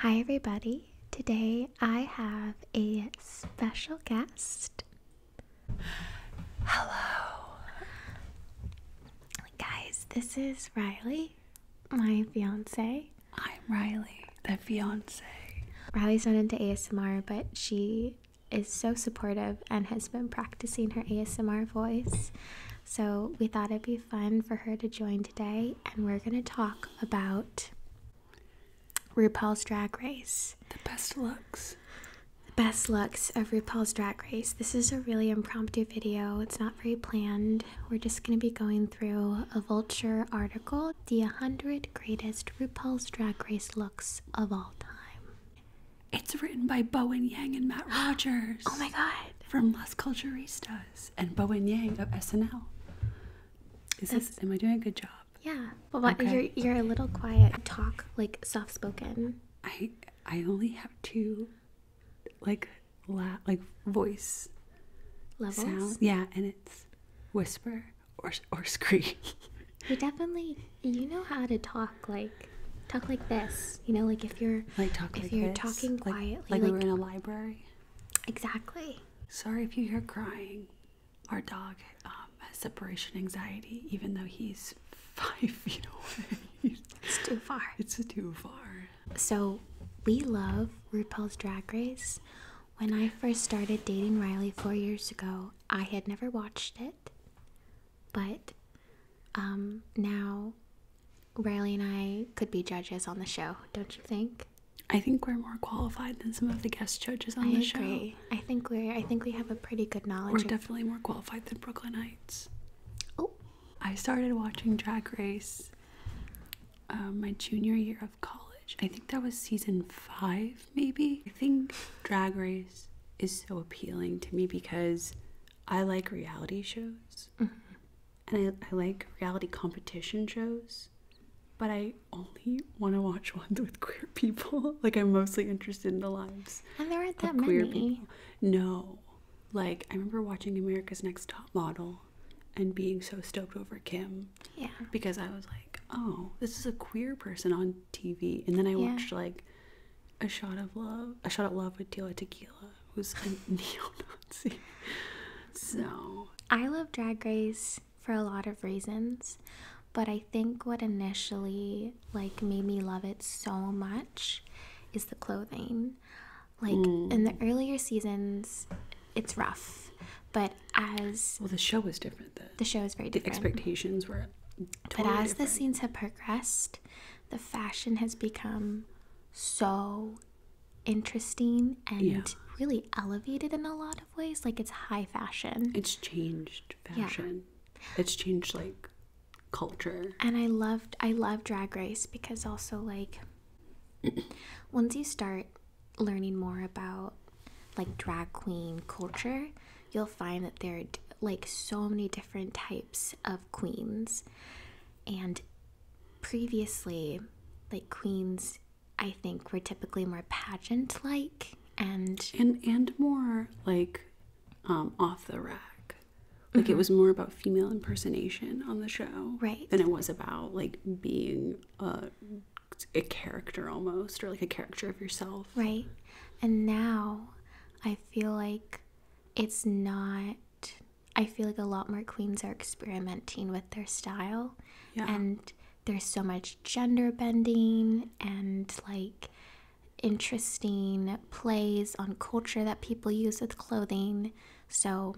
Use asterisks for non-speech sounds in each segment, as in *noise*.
Hi, everybody. Today I have a special guest. Hello. Guys, this is Riley, my fiance. I'm Riley, the fiance. Riley's not into ASMR, but she is so supportive and has been practicing her ASMR voice. So we thought it'd be fun for her to join today and we're going to talk about RuPaul's Drag Race. The best looks. The best looks of RuPaul's Drag Race. This is a really impromptu video. It's not very planned. We're just going to be going through a Vulture article, the 100 greatest RuPaul's Drag Race looks of all time. It's written by Bowen Yang and Matt Rogers. oh my god. From Las Culturistas does, and Bowen Yang of SNL. Is this? Am I doing a good job? Yeah. but you're you're a little quiet. talk like soft spoken. I I only have two, like la like voice levels. Yeah, and it's whisper or or scream. you definitely you know how to talk like talk like this. You know, like if you're like talk if like you're talking quietly, like we were in a library. Exactly. Sorry if you hear crying. Our dog um, has separation anxiety, even though he's *laughs* five feet away. it's too far. It's too far. So, we love RuPaul's Drag Race. When I first started dating Riley four years ago, I had never watched it, but um, now Riley and I could be judges on the show, don't you think? I think we're more qualified than some of the guest judges on the show. I think we're I think we have a pretty good knowledge. We're definitely more qualified than Brooklyn Heights. Oh. I started watching Drag Race um, my junior year of college. I think that was season five, maybe. I think Drag Race is so appealing to me because I like reality shows. Mm-hmm and I, I like reality competition shows, but I only want to watch *laughs* ones with queer people. *laughs* like I'm mostly interested in the lives. And there aren't that queer many. people. No. Like I remember watching America's Next Top Model and being so stoked over Kim. Yeah. Because I was like, oh, this is a queer person on TV. And then I watched like a shot of love, a shot of love with Tila Tequila, who's a *laughs* neo-Nazi. So I love Drag Race for a lot of reasons, but I think what initially like made me love it so much is the clothing. Like mm. in the earlier seasons, it's rough, but as well, the show was different. Then. The show is very different. The expectations were. but as the scenes have progressed, the fashion has become so interesting and really elevated in a lot of ways. Like it's high fashion. It's changed fashion. It's changed like culture. And I loved I love drag race because also like *clears throat* once you start learning more about like drag queen culture, you'll find that there are like so many different types of queens and previously, like queens, I think were typically more pageant like and and and more like um, off the rack. Like it mm-hmm. was more about female impersonation on the show, right? Than it was about like being a character almost or like a character of yourself, right? And now I feel like it's not I feel like a lot more queens are experimenting with their style. And there's so much gender bending and like interesting plays on culture that people use with clothing. So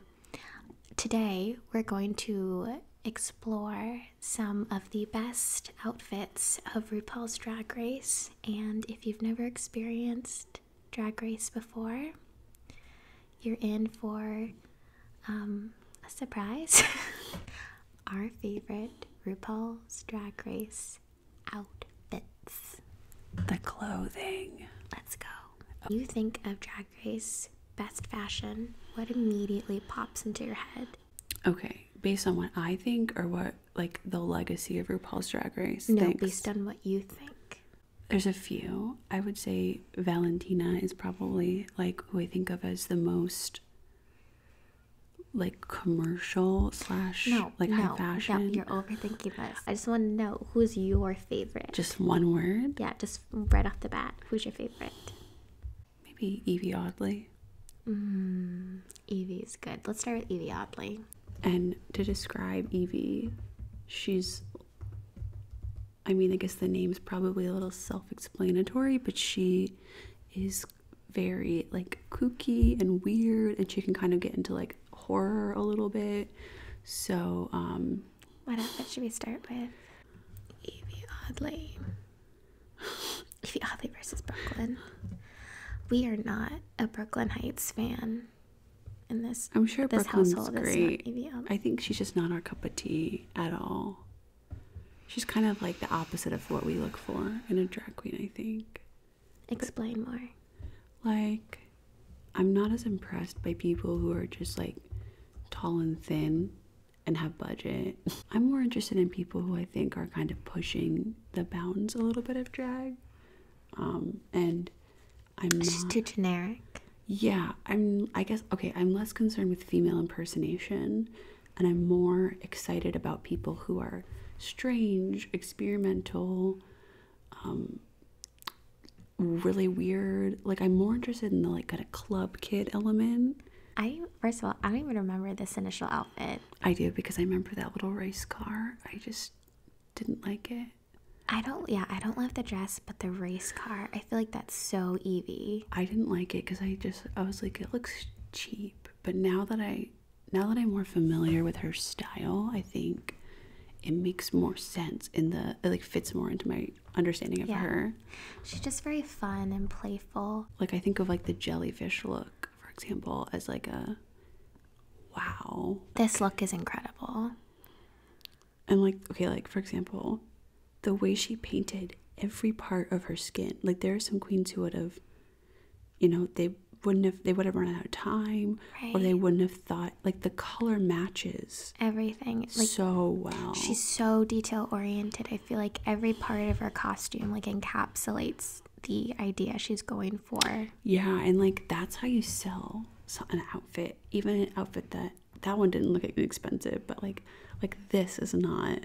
today we're going to explore some of the best outfits of RuPaul's Drag Race. And if you've never experienced Drag Race before, you're in for um, a surprise. *laughs* Our favorite RuPaul's Drag Race outfits. The clothing. Let's go. you think of Drag Race best fashion, what immediately pops into your head? Okay, based on what I think or what like the legacy of RuPaul's Drag Race? No, based on what you think. There's a few. I would say Valentina is probably like who I think of as the most like commercial slash no, like no, high fashion. No, you're overthinking this. I just want to know who's your favorite. Just one word. Yeah, just right off the bat, who's your favorite? Maybe Evie Oddly. Mm, Evie's good. Let's start with Evie Oddly. And to describe Evie, she's I mean, I guess the name's probably a little self explanatory, but she is very like kooky and weird, and she can kind of get into like horror a little bit. So, um, what outfit should we start with? Evie Oddly. *gasps* Evie Oddly versus Brooklyn. We are not a Brooklyn Heights fan. I'm sure Brooklyn's great. I think she's just not our cup of tea at all. She's kind of like the opposite of what we look for in a drag queen. I think. Explain more. Like, I'm not as impressed by people who are just like tall and thin and have budget. *laughs* I'm more interested in people who I think are kind of pushing the bounds a little bit of drag. Um, and I'm it's just too generic. Yeah, I'm. I guess okay. I'm less concerned with female impersonation, and I'm more excited about people who are strange, experimental, um, really weird. Like I'm more interested in the like kind of club kid element. I first of all, I don't even remember this initial outfit. I do because I remember that little race car. I just didn't like it. I don't, yeah, I don't love the dress, but the race car, I feel like that's so Evie. I didn't like it because I just, I was like, it looks cheap. But now that I, now that I'm more familiar with her style, I think it makes more sense in the, like fits more into my understanding of yeah. her. She's just very fun and playful. Like, I think of like the jellyfish look, for example, as like a, wow. This look is incredible. I'm like, okay, like for example, the way she painted every part of her skin. Like there are some queens who would have, you know, they wouldn't have they would have run out of time right. or they wouldn't have thought like the color matches everything so well she's so detail oriented i feel like every part of her costume like encapsulates the idea she's going for yeah and like that's how you sell an outfit even an outfit that that one didn't look expensive but like like this is not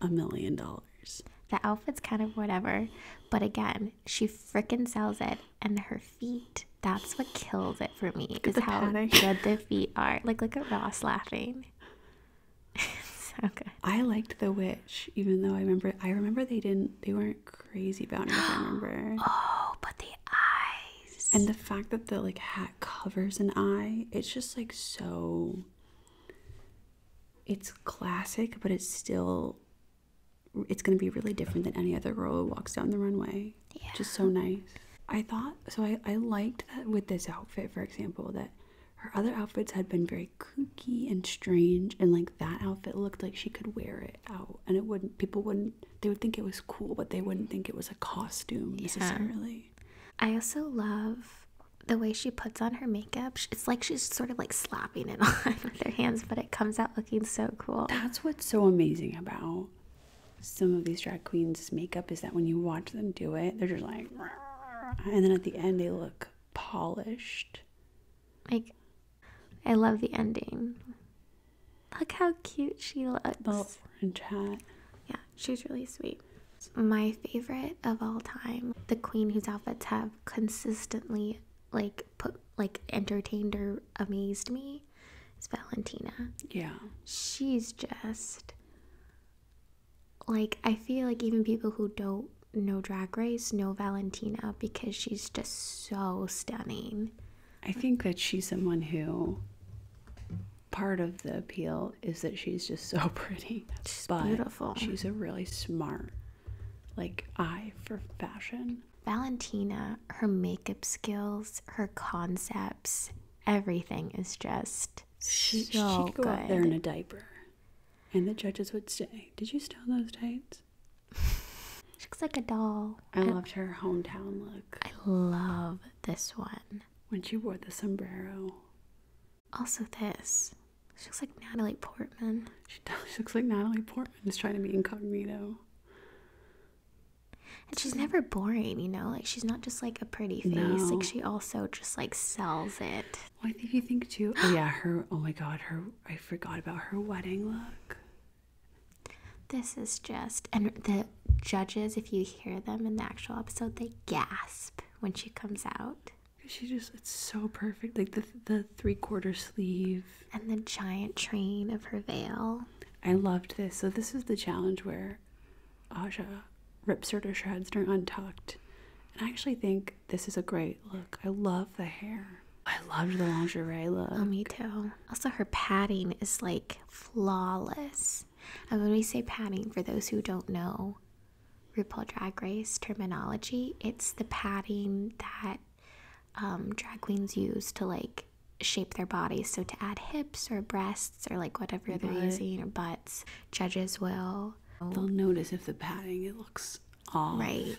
a million dollars the outfit's kind of whatever but again she freaking sells it and her feet that's what kills it for me is how padding. good the feet are like look at ross laughing *laughs* so i liked the witch even though i remember i remember they didn't they weren't crazy about it i remember *gasps* oh but the eyes. And the fact that the like hat covers an eye, it's just like so it's classic, but it's still it's gonna be really different than any other girl who walks down the runway. Yeah. Just so nice. I thought so I, I liked that with this outfit, for example, that her other outfits had been very kooky and strange and like that outfit looked like she could wear it out and it wouldn't people wouldn't they would think it was cool, but they wouldn't think it was a costume necessarily. I also love the way she puts on her makeup. It's like she's sort of like slapping it *laughs* on with her hands, but it comes out looking so cool. That's what's so amazing about some of these drag queens' makeup is that when you watch them do it, they're just like, and then at the end they look polished. Like I love the ending. Look how cute she looks. The orange hat. Yeah, she's really sweet. My favorite of all time, the queen whose outfits have consistently like put like entertained or amazed me, is Valentina. Yeah. She's just like I feel like even people who don't know Drag Race know Valentina because she's just so stunning. I think that she's someone who part of the appeal is that she's just so *laughs* pretty. She's beautiful. She's a really smart, like eye for fashion. Valentina, her makeup skills, her concepts, everything is just she, so she go out there in a diaper, and the judges would say, "Did you steal those tights?" She looks like a doll. I, loved her hometown look. I love this one. When she wore the sombrero. Also this. She looks like Natalie Portman. She does. *laughs* She looks like Natalie Portman is trying to be incognito. And she's never boring, you know? Like she's not just like a pretty face. Like she also just like sells it. I think you think too. Oh *gasps* yeah, her oh my god, her I forgot about her wedding look. This is just, and the judges, if you hear them in the actual episode, they gasp when she comes out. She just, it's so perfect. Like the, the three quarter sleeve and the giant train of her veil. I loved this. So, this is the challenge where Aja rips her to shreds during Untucked. And I actually think this is a great look. I love the hair. I loved the lingerie look. Oh, me too. Also, her padding is like flawless. And when we say padding, for those who don't know RuPaul Drag Race terminology, it's the padding that um, drag queens use to like shape their bodies. So to add hips or breasts or like whatever they're using or butts, judges will. They'll notice if the padding it looks off. Right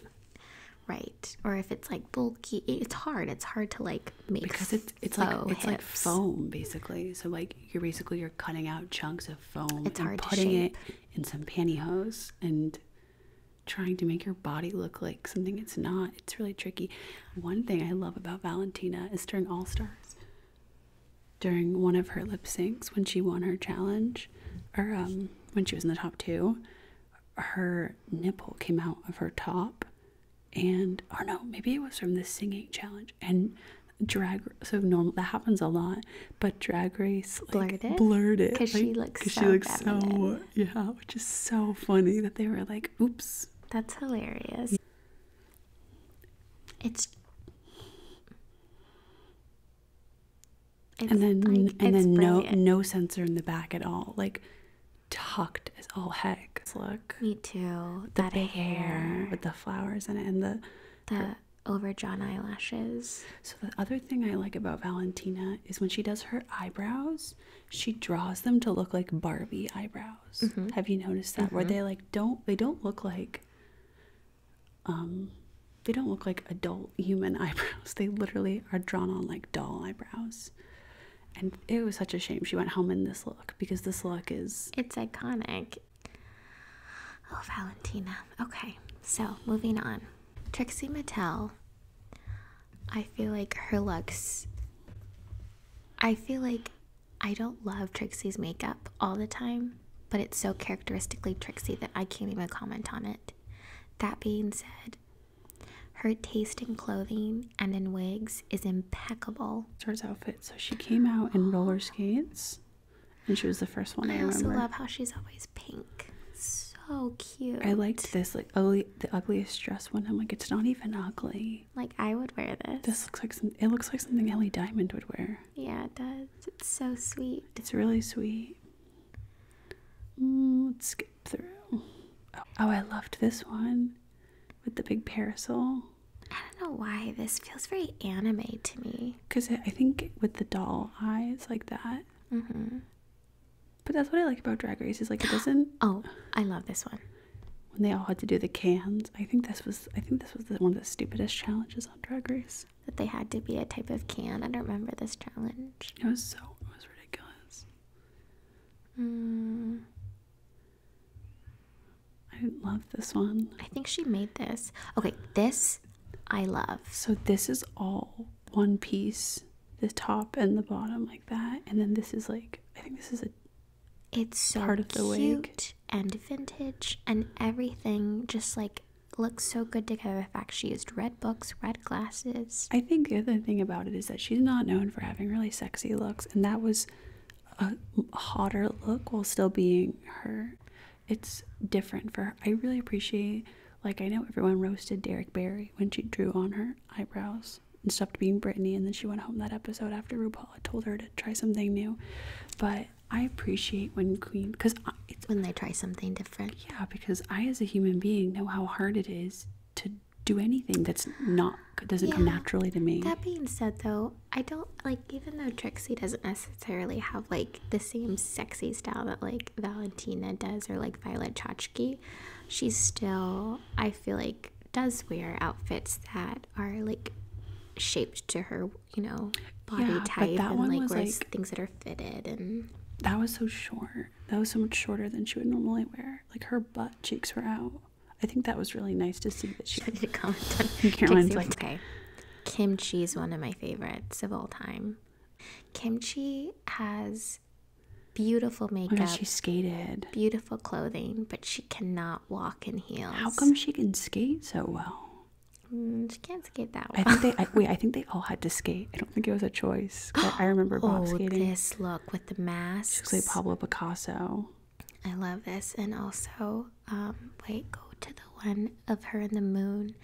right or if it's like bulky it's hard it's hard to like make because it's it's like it's like foam basically so like you're basically you're cutting out chunks of foam and putting it in some pantyhose and trying to make your body look like something it's not it's really tricky one thing i love about valentina is during all stars during one of her lip syncs when she won her challenge or um when she was in the top two her nipple came out of her top and or no maybe it was from the singing challenge and drag so normal that happens a lot but drag race blurred it blurred it because she looks so, she looks so yeah which is so funny that they were like oops that's hilarious it's and then and then no no sensor in the back at all like tucked as all heck. Look. Me too. The that big hair. with the flowers in it and the the overdrawn eyelashes. So the other thing I like about Valentina is when she does her eyebrows, she draws them to look like Barbie eyebrows. Mm-hmm. Have you noticed that? Where mm-hmm. they like don't they don't look like um they don't look like adult human *laughs* eyebrows. They literally are drawn on like doll eyebrows and it was such a shame she went home in this look because this look is it's iconic oh valentina okay so moving on trixie mattel i feel like her looks i feel like i don't love trixie's makeup all the time but it's so characteristically trixie that i can't even comment on it that being said her taste in clothing and in wigs is impeccable. Towards outfit. So she came out in roller skates, and she was the first one I, I also love how she's always pink. So cute. I liked this, like ugly, the ugliest dress one. I'm like, it's not even ugly. Like I would wear this. This looks like some. It looks like something Ellie Diamond would wear. Yeah, it does. It's so sweet. It's really sweet. Mm, let's through. Oh, I loved this one with the big parasol. I don't know why this feels very anime to me. Cause I think with the doll eyes like that. hmm But that's what I like about Drag Race is like it doesn't. *gasps* oh, I love this one. When they all had to do the cans, I think this was I think this was the, one of the stupidest challenges on Drag Race. That they had to be a type of can. I don't remember this challenge. It was so it was ridiculous. Mm. I love this one. I think she made this. Okay, this I love. So this is all one piece, the top and the bottom like that, and then this is like I think this is a it's so of the cute and vintage and everything just like looks so good together. The fact she used red books, red glasses. I think the other thing about it is that she's not known for having really sexy looks, and that was a hotter look while still being her. It's different for her. I really appreciate, like, I know everyone roasted Derek Barry when she drew on her eyebrows and stopped being Brittany, and then she went home that episode after RuPaul had told her to try something new. But I appreciate when Queen, because it's when they try something different. Yeah, because I, as a human being, know how hard it is to do anything that's not doesn't come naturally to me. That being said, though, I don't like even though Trixie doesn't necessarily have like the same sexy style that like Valentina does or like Violet Chachki, she still I feel like does wear outfits that are like shaped to her, you know, body type that and one like wears things that are fitted and that was so short. That was so much shorter than she would normally wear. Like her butt cheeks were out. I think that was really nice to see that she. *laughs* *laughs* Caroline's like, okay. Kimchi is one of my favorites of all time. Kimchi has beautiful oh makeup. Oh, she skated. Beautiful clothing, but she cannot walk in heels. How come she can skate so well? Mm, she can't skate that way. I think they. wait, I *laughs* think they all had to skate. I think it was a choice. I *gasps* remember bob oh, this look with the mask. Looks like Pablo Picasso. I love this, and also, um, wait, go to the one of her in the moon.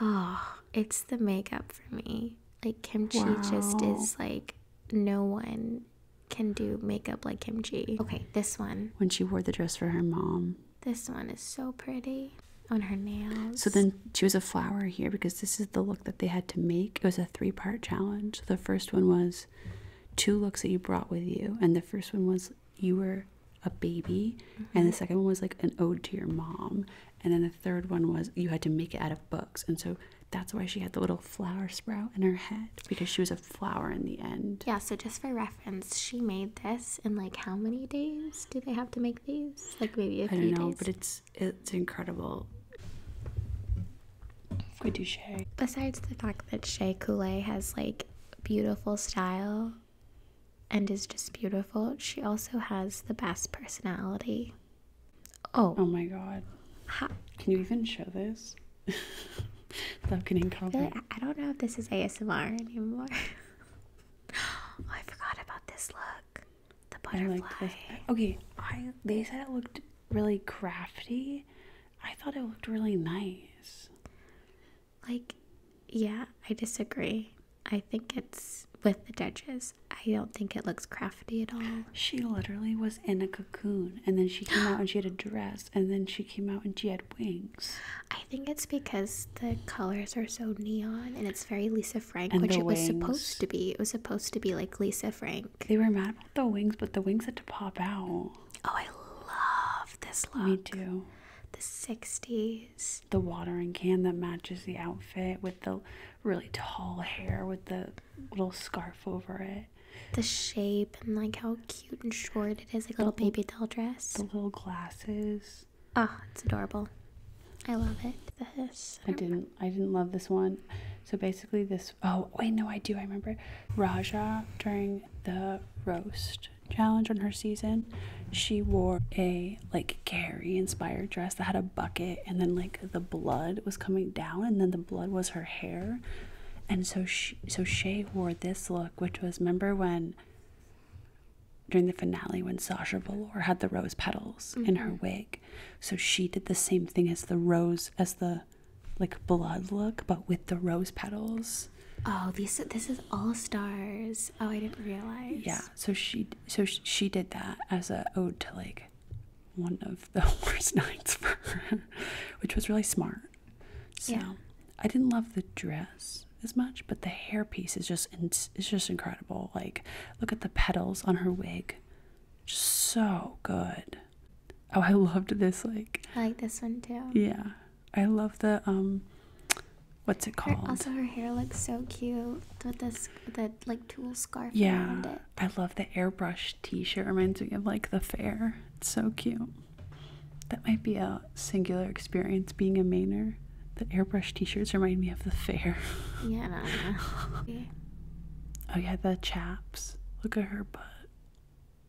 Oh, it's the makeup for me. Like Kimchi just is like no one can do makeup like Kimchi. Okay, this one. When she wore the dress for her mom. This one is so pretty on her nails. So then she was a flower here because this is the look that they had to make. It was a three part challenge. The first one was two looks that you brought with you, and the first one was you were a baby, and the mm-hmm. second one was like an ode to your mom, and then the third one was you had to make it out of books. And so that's why she had the little flower sprout in her head because she was a flower in the end. Yeah, so just for reference, she made this in like how many days do they have to make these? Like maybe a few I know, days. but it's it's incredible. Quoi du Shea? Besides the fact that Shea Coulee has like beautiful style and is just beautiful, she also has the best personality. Oh. Oh my god. Can you even show this? Falcon *laughs* like I don't know if this is ASMR anymore. *gasps* Oh, I forgot about this look. The butterfly. okay, I they said it looked really crafty. I thought it looked really nice. Like, yeah, I disagree. I think it's with the judges. I don't think it looks crafty at all. She literally was in a cocoon and then she came out and she had a dress and then she came out and she had wings. I think it's because the colors are so neon and it's very Lisa Frank, which it was supposed to be. It was supposed to be like Lisa Frank. They were mad about the wings, but the wings had to pop out. Oh, I love this look. Me too. The 60s. The watering can that matches the outfit with the really tall hair with the little scarf over it. The shape and like how cute and short it is, like little baby doll dress. The little glasses. Oh, it's adorable. I love it. This. I didn't I didn't love this one. So basically this oh wait no I do I remember Raja during the roast challenge on her season she wore a like Gary inspired dress that had a bucket and then like the blood was coming down and then the blood was her hair and so she so Shay wore this look which was remember when during the finale when Sasha Velour had the rose petals in her mm-hmm. wig so she did the same thing as the rose, as the like blood look, but with the rose petals. Oh, these this is all stars. Oh, I didn't realize. Yeah, so she so she did that as a ode to like one of the *laughs* worst nights which was really smart. So yeah. I didn't love the dress as much, but the hairpiece is just in it's just incredible. Like look at the petals on her wig. Just so good. Oh, I loved this like I like this one too. Yeah. I love the um what's it called? also her hair looks so cute with this the like tulle scarf yeah. I love the airbrush t-shirt. Reminds me of like the fair. It's so cute. That might be a singular experience being a Mainer. The airbrush t-shirts remind me of the fair. Yeah. *laughs* oh yeah, the chaps. Look at her butt.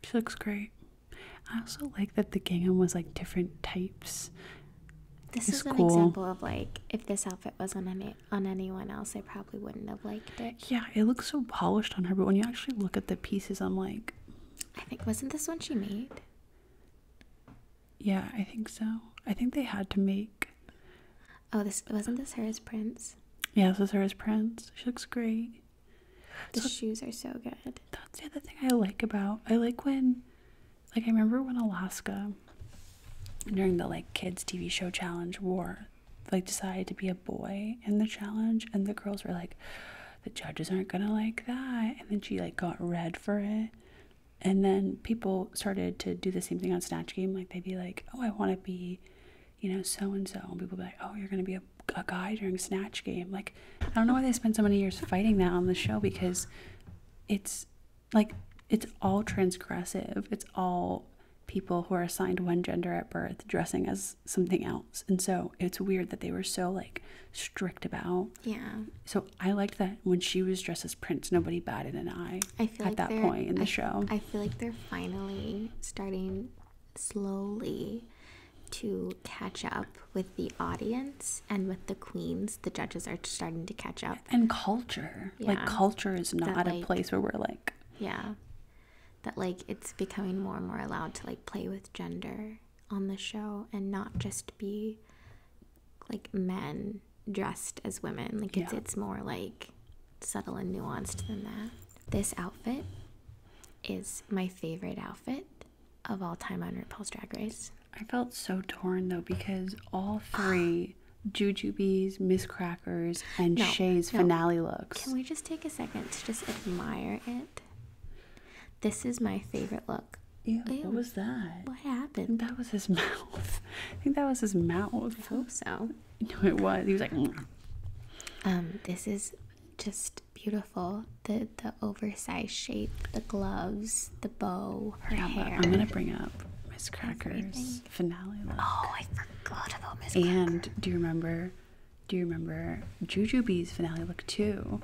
She looks great. I also like that the gingham was like different types. This is an cool. example of like if this outfit was on any on anyone else, I probably wouldn't have liked it. Yeah, it looks so polished on her, but when you actually look at the pieces, I'm like, I think wasn't this one she made? Yeah, I think so. I think they had to make. Oh, this wasn't this her as Prince. Yeah, this is her as Prince. She looks great. The shoes are so good. That's the other thing I like about. I like when, like, I remember when Alaska, during the like kids TV show challenge, wore like decided to be a boy in the challenge, and the girls were like, the judges aren't gonna like that, and then she like got red for it. And then people started to do the same thing on Snatch Game. Like they'd be like, oh, I want to be, you know, so and so. And people be like, oh, you're going to be a, a guy during Snatch Game. Like, I don't know why they spend so many years fighting that on the show because it's like, it's all transgressive. It's all people who are assigned one gender at birth dressing as something else. And so it's weird that they were so like strict about. Yeah. So I liked that when she was dressed as Prince, nobody batted an eye at that point in the show. I feel like they're finally starting slowly to catch up with the audience and with the queens. The judges are starting to catch up. And culture. Like, culture is not a place where we're like. Yeah. That, like, it's becoming more and more allowed to, like, play with gender on the show and not just be like men dressed as women. Like it's it's more like subtle and nuanced than that. This outfit is my favorite outfit of all time on RuPaul's Drag Race. I felt so torn though because all *sighs* three Juju Jujubees, Miss Crackers, and Shay's finale looks. Can we just take a second to just admire it? This is my favorite look. Ew, what was that? What happened? That was his *laughs* mouth. I think that was his mouth. I hope so. No, it was. He was like. Mm. Um, this is just beautiful. The the oversized shape, the gloves, the bow, her hair. I'm gonna bring up Miss Cracker's finale look. Oh, I forgot about Miss Cracker. And do you remember? Do you remember Juju Jujubee's finale look too?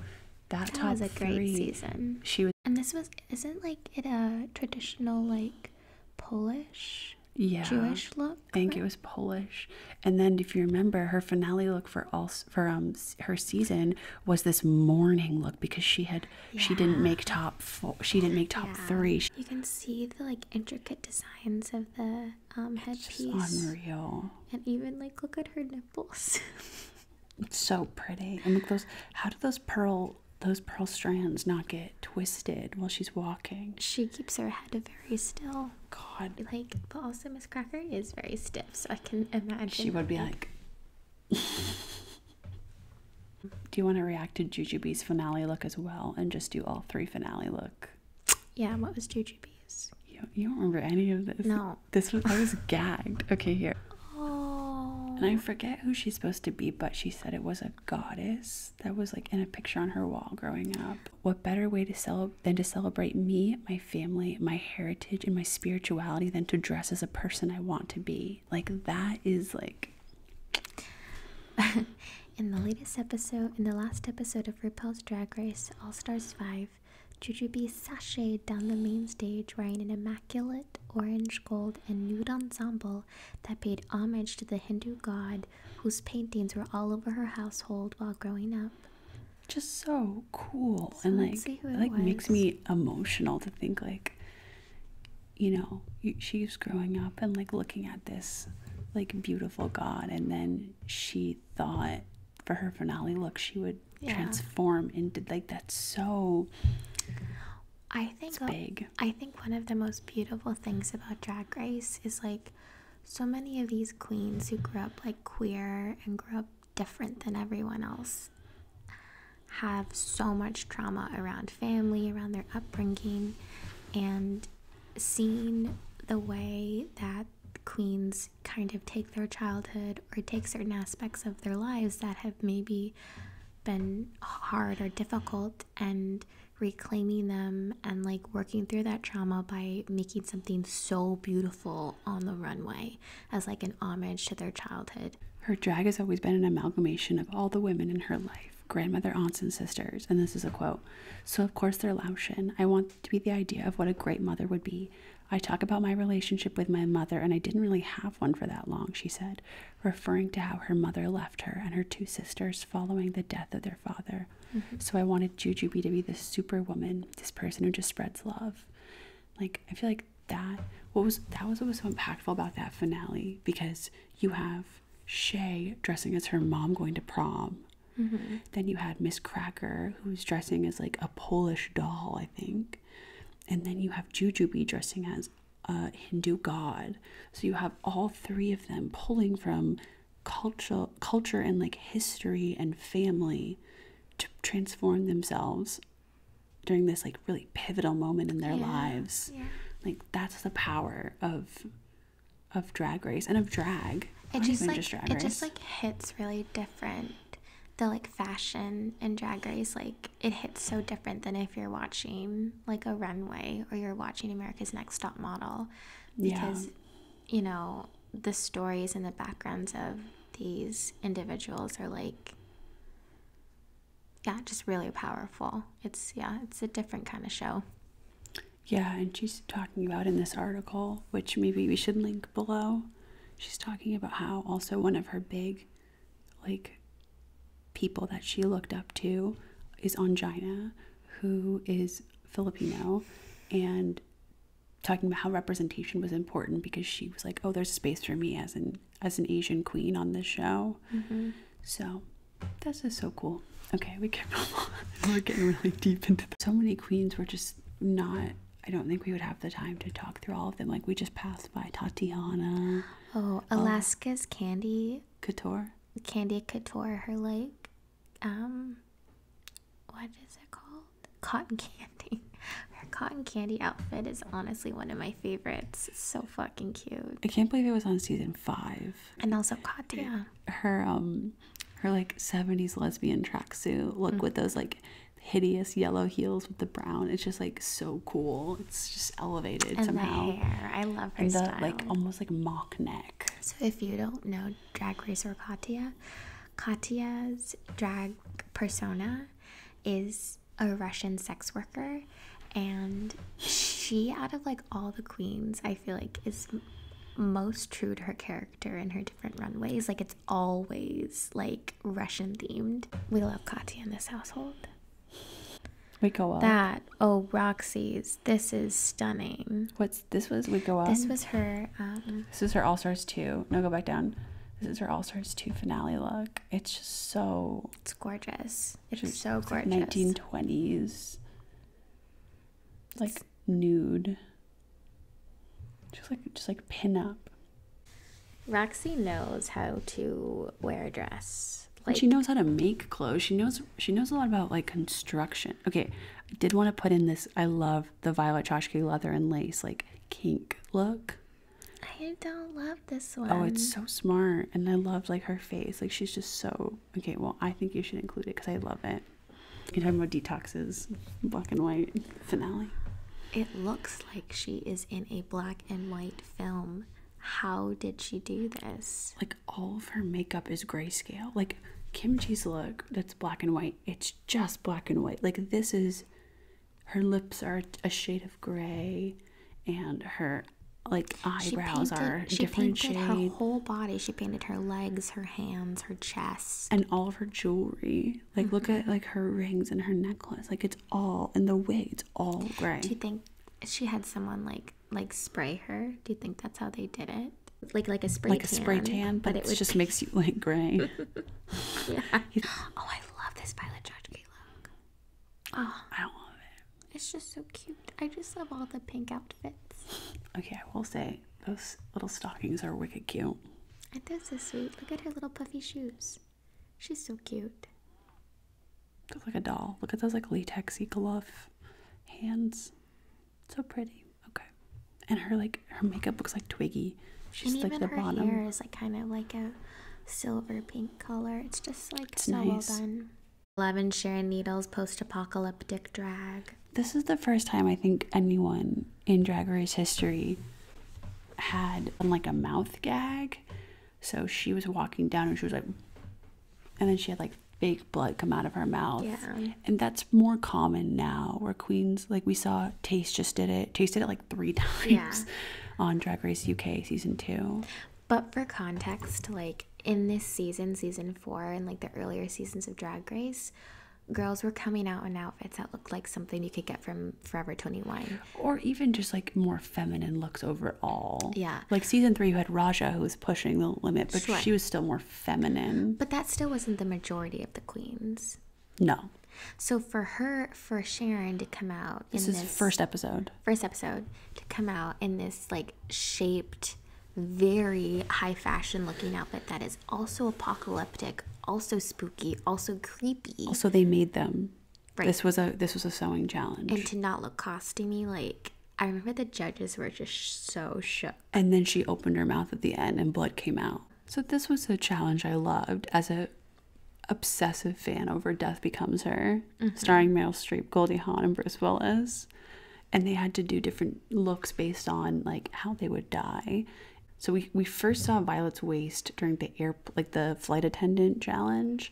That, was a great season. She was, and this was isn't like it a traditional like Polish yeah, Jewish look? I think it was Polish. And then if you remember, her finale look for all for um her season was this mourning look because she had she didn't make top four, she didn't make top three. You can see the like intricate designs of the um headpiece. unreal. And even like look at her nipples. *laughs* It's so pretty. And look those how do those pearl those pearl strands not get twisted while she's walking? She keeps her head very still. God. Like, but also Miss Cracker is very stiff, so I can imagine. She would be like. *laughs* do you want to react to Jujubee's finale look as well and just do all three finale look? Yeah, what was Jujubee's? You, you don't remember any of this? No. This I was gagged. Okay, here. And I forget who she's supposed to be, but she said it was a goddess that was like in a picture on her wall growing up. What better way to celebrate than to celebrate me, my family, my heritage, and my spirituality than to dress as a person I want to be? Like that is like. *laughs* in the latest episode, in the last episode of RuPaul's Drag Race All Stars Five, Bee sashayed down the main stage wearing an immaculate orange, gold, and nude ensemble that paid homage to the Hindu god whose paintings were all over her household while growing up. Just so cool and like like makes me emotional to think like you know she's growing up and like looking at this like beautiful god and then she thought for her finale look she would transform into like that's so I think I think one of the most beautiful things about Drag Race is like so many of these queens who grew up like queer and grew up different than everyone else have so much trauma around family, around their upbringing, and seeing the way that queens kind of take their childhood or take certain aspects of their lives that have maybe been hard or difficult and reclaiming them and like working through that trauma by making something so beautiful on the runway as like an homage to their childhood. Her drag has always been an amalgamation of all the women in her life grandmother, aunts, and sisters. And this is a quote. So, of course, they're Laotian. I want to be the idea of what a great mother would be. I talk about my relationship with my mother, and I didn't really have one for that long, she said referring to how her mother left her and her two sisters following the death of their father. Mm-hmm. So I wanted Jujubee to be this superwoman, this person who just spreads love. Like I feel like that what was that was what was so impactful about that finale because you have Shay dressing as her mom going to prom. Mm-hmm. Then you had Miss Cracker, who's dressing as like a Polish doll, I think. And then you have Jujubee dressing as uh, Hindu god. So you have all three of them pulling from culture, culture and like history and family to transform themselves during this like really pivotal moment in their lives. Like that's the power of of drag race and of drag. It just drag race. it just like hits really different. The like fashion and drag race like it hits so different than if you're watching like a runway or you're watching America's Next Top Model because you know the stories and the backgrounds of these individuals are like yeah just really powerful it's yeah it's a different kind of show yeah and she's talking about in this article which maybe we should link below she's talking about how also one of her big like people that she looked up to is Angina, who is Filipino, and talking about how representation was important because she was like, "Oh, there's space for me as an as an Asian queen on this show." Mm-hmm. So that's just so cool. Okay, we can *laughs* we're getting really deep into this. so many queens were just not. I don't think we would have the time to talk through all of them. Like we just passed by Tatiana. Oh, oh, Alaska's Candy Couture. Candy Couture. Her like, um, what is it called? Cotton candy. *laughs* Her cotton candy outfit is honestly one of my favorites. so fucking cute. I can't believe it was on season five. And also Katya. Her um, her like seventies lesbian tracksuit look mm. with those like hideous yellow heels with the brown. It's just like so cool. It's just elevated and somehow. The hair. I love her and the, Like almost like mock neck. So if you don't know drag racer Katya, Katya's drag persona is a Russian sex worker and she out of like all the queens I feel like is most true to her character in her different runways. Like it's always like Russian themed. We love Katya in this household. We go out. That oh Roxy's. This is stunning. What's this was? We go out. This was her. Um, this is her All Stars two. No, go back down. This is her All Stars two finale look. It's just so. It's gorgeous. It's, it's so gorgeous. Nineteen twenties. Like, 1920s, like nude. Just like just like pin up. Roxy knows how to wear a dress. she knows how to make clothes. She knows she knows a lot about like construction. Okay, I did want to put in this. I love the Violet Chachki leather and lace like kink look. I don't love this one. Oh, it's so smart, and I love like her face. Like she's just so okay. Well, I think you should include it because I love it. You're talking about detoxes, black and white finale. It looks like she is in a black black and white film. How did she do this? Like all of her makeup is grayscale. Like Kimchi's look that's black and white, it's just black and white. Like this is her lips are a shade of gray and her like eyebrows she painted, are she painted her whole body. She painted her legs, her hands, her chest. And all of her jewelry. Like look at like her rings and her necklace. Like it's all in the wig. It's all gray. Do you think she had someone like like spray her? Do you think that's how they did it? Like like a spray like tan, a spray tan, but, it, just makes you like gray. *laughs* yeah. *laughs* Oh, I love this Violet Chachki look. Oh, I love it. It's just so cute. I just love all the pink outfits. Okay, I will say those little stockings are wicked cute. It is does so sweet. Look at her little puffy shoes. She's so cute. Looks like a doll. Look at those like latexy glove hands. So pretty. Okay. And her like her makeup looks like Twiggy. She's and like even the her bottom. hair is like kind of like a silver pink color. It's just like so well done. Eleven Sharon Needles post-apocalyptic drag. This is the first time I think anyone in Drag Race history had like a mouth gag so she was walking down and she was like, and then she had like fake blood come out of her mouth. Yeah. And that's more common now where queens, like we saw Taste just did it. Tasted it like three *laughs* times yeah. on Drag Race UK season two. But for context, like in this season, season four, and like the earlier seasons of Drag Race, girls were coming out in outfits that looked like something you could get from um Forever 21. Or even just like more feminine looks overall. Yeah. Like season three you had Raja who was pushing the limit, but she was still more feminine. But that still wasn't the majority of the queens. No. So for her, for Sharon to come out in this is first episode, first episode to come out in this like shaped, very high fashion looking outfit that is also apocalyptic, also spooky, also creepy. So they made them. Right. This was a this was a sewing challenge. And to not look costumey, like I remember the judges were just so shook. And then she opened her mouth at the end, and blood came out. So this was a challenge I loved as a obsessive fan over Death Becomes Her, mm-hmm. starring Meryl Streep, Goldie Hawn, and Bruce Willis. And they had to do different looks based on like how they would die. So we, we first saw Violet's waist during the air like the flight attendant challenge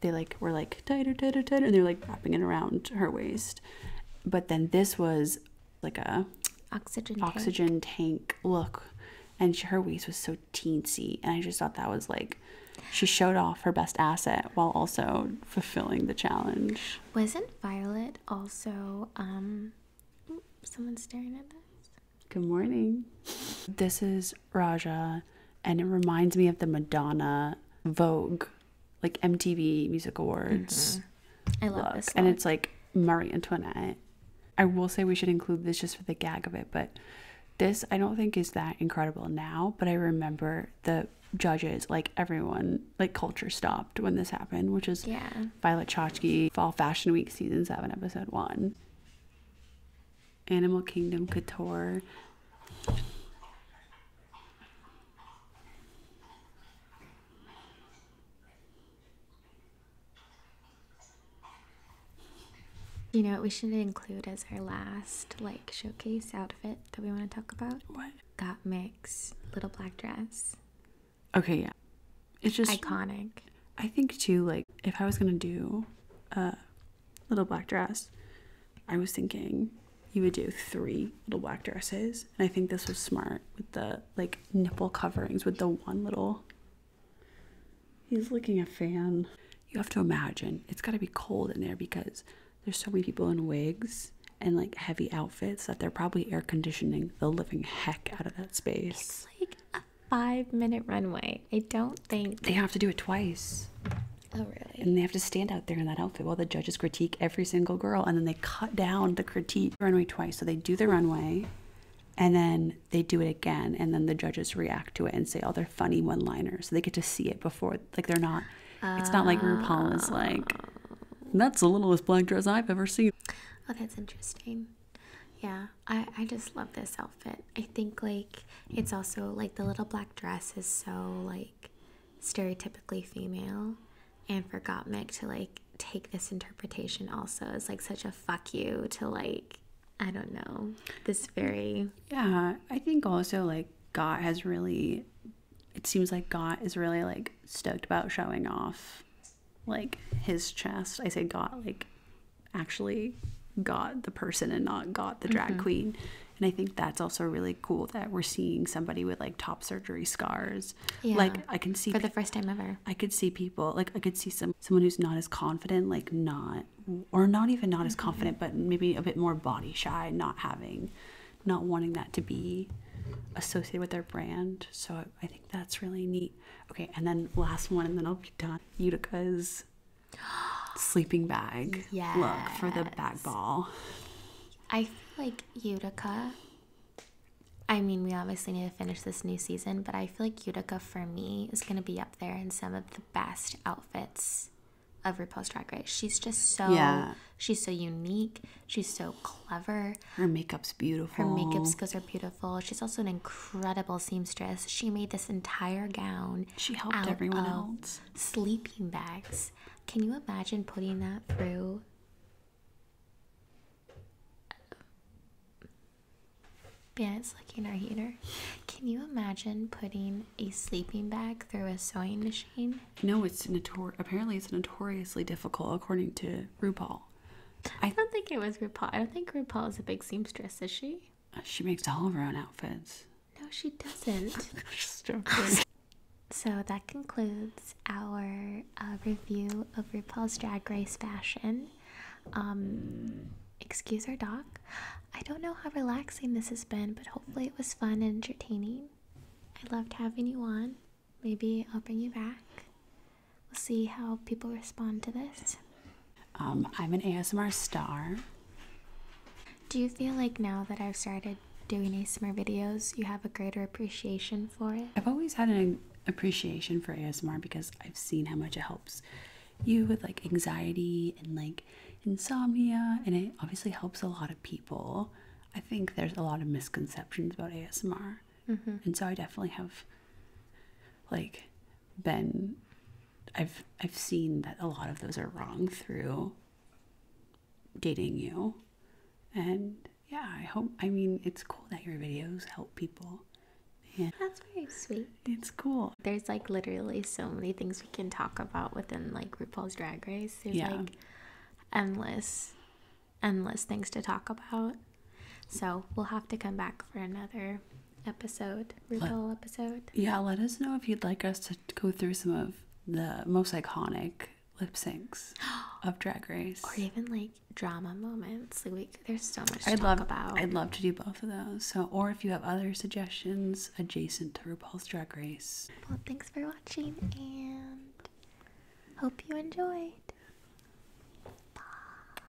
they like were like tighter tighter tighter and they're like wrapping it around her waist but then this was like a oxygen oxygen tank, look and her waist was so teensy and i just thought that was like she showed off her best asset while also fulfilling the challenge wasn't violet also um someone's staring at us Good morning. This is Raja, and it reminds me of the Madonna Vogue, like MTV Music Awards. Mm-hmm. I love this. And it's like Marie Antoinette. I will say we should include this just for the gag of it, but this I don't think is that incredible now, but I remember the judges, like everyone, like culture stopped when this happened, which is yeah. Violet Chachki, Fall Fashion Week, Season 7, Episode 1. Animal Kingdom Couture. You know what we should include as our last like showcase outfit that we want to talk about? What? Got mix, little black dress. Okay, yeah. It's just iconic. I think too, like if I was gonna do a little black dress, I was thinking you would do three little black dresses, and I think this was smart with the like nipple coverings with the one little. He's looking a fan. You have to imagine it's got to be cold in there because there's so many people in wigs and like heavy outfits that they're probably air conditioning the living heck out of that space five minute runway. I don't think they have to do it twice. Oh, really? And they have to stand out there in that outfit while the judges critique every single girl. And then they cut down the critique runway twice. So they do the runway and then they do it again. And then the judges react to it and say all their funny one liners. So they get to see it before, like, they're not, it's not like RuPaul is like, that's the littlest black dress I've ever seen. Oh, that's interesting yeah i i just love this outfit i think like it's also like the little black dress is so like stereotypically female and for gottmik to like take this interpretation also is like such a fuck you to like i don't know this very yeah i think also like got has really it seems like got is really like stoked about showing off like his chest i say got like actually got the person and not got the drag mm-hmm. queen. And I think that's also really cool that we're seeing somebody with like top surgery scars. Yeah. Like I can see for the first time ever. I could see people like I could see some someone who's not as confident, like not or not even not as mm-hmm. confident, but maybe a bit more body shy, not having, not wanting that to be associated with their brand. So I think that's really neat. Okay, and then last one, and then I'll be done. Utica's sleeping bag look for the back ball. I feel like Utica. I mean, we obviously need to finish this new season, but I feel like Utica for me is going to be up there in some of the best outfits of RuPaul's Drag Race. She's just so yeah. she's so unique. She's so clever. Her makeup's beautiful. Her makeup skills are beautiful She's also an incredible seamstress. She made this entire gown. She helped everyone else. Sleeping bags. Can you imagine putting that through? Yeah, it's looking our heater. Can you imagine putting a sleeping bag through a sewing machine? No, it's notor. Apparently, it's notoriously difficult, according to RuPaul. I, I don't think it was RuPaul. I don't think RuPaul is a big seamstress, is she? Uh, she? makes all of her own outfits. No, she doesn't. *laughs* So that concludes our uh, review of RuPaul's Drag Race fashion. Um, excuse our dog. I don't know how relaxing this has been, but hopefully it was fun and entertaining. I loved having you on. Maybe I'll bring you back we'll see how people respond to this. Um, I'm an ASMR star. Do you feel like now that I've started doing ASMR videos, you have a greater appreciation for it? I've always had an appreciation for ASMR because I've seen how much it helps you with like anxiety and like insomnia, and it obviously helps a lot of people. I think there's a lot of misconceptions about ASMR. Mm-hmm. And so I definitely have like been I've I've seen that a lot of those are wrong through dating you. And yeah, I hope I mean it's cool that your videos help people. Yeah. That's very sweet. It's cool. There's like literally so many things we can talk about within like RuPaul's Drag Race. yeah. like endless endless things to talk about. So we'll have to come back for another episode, RuPaul episode. Yeah, let us know if you'd like us to go through some of the most iconic lip syncs *gasps* of Drag Race, or even like drama moments. Like we, there's so much. I'd love about. I'd love to do both of those. So, or if you have other suggestions adjacent to RuPaul's Drag Race. Well, thanks for watching, and hope you enjoyed. Bye.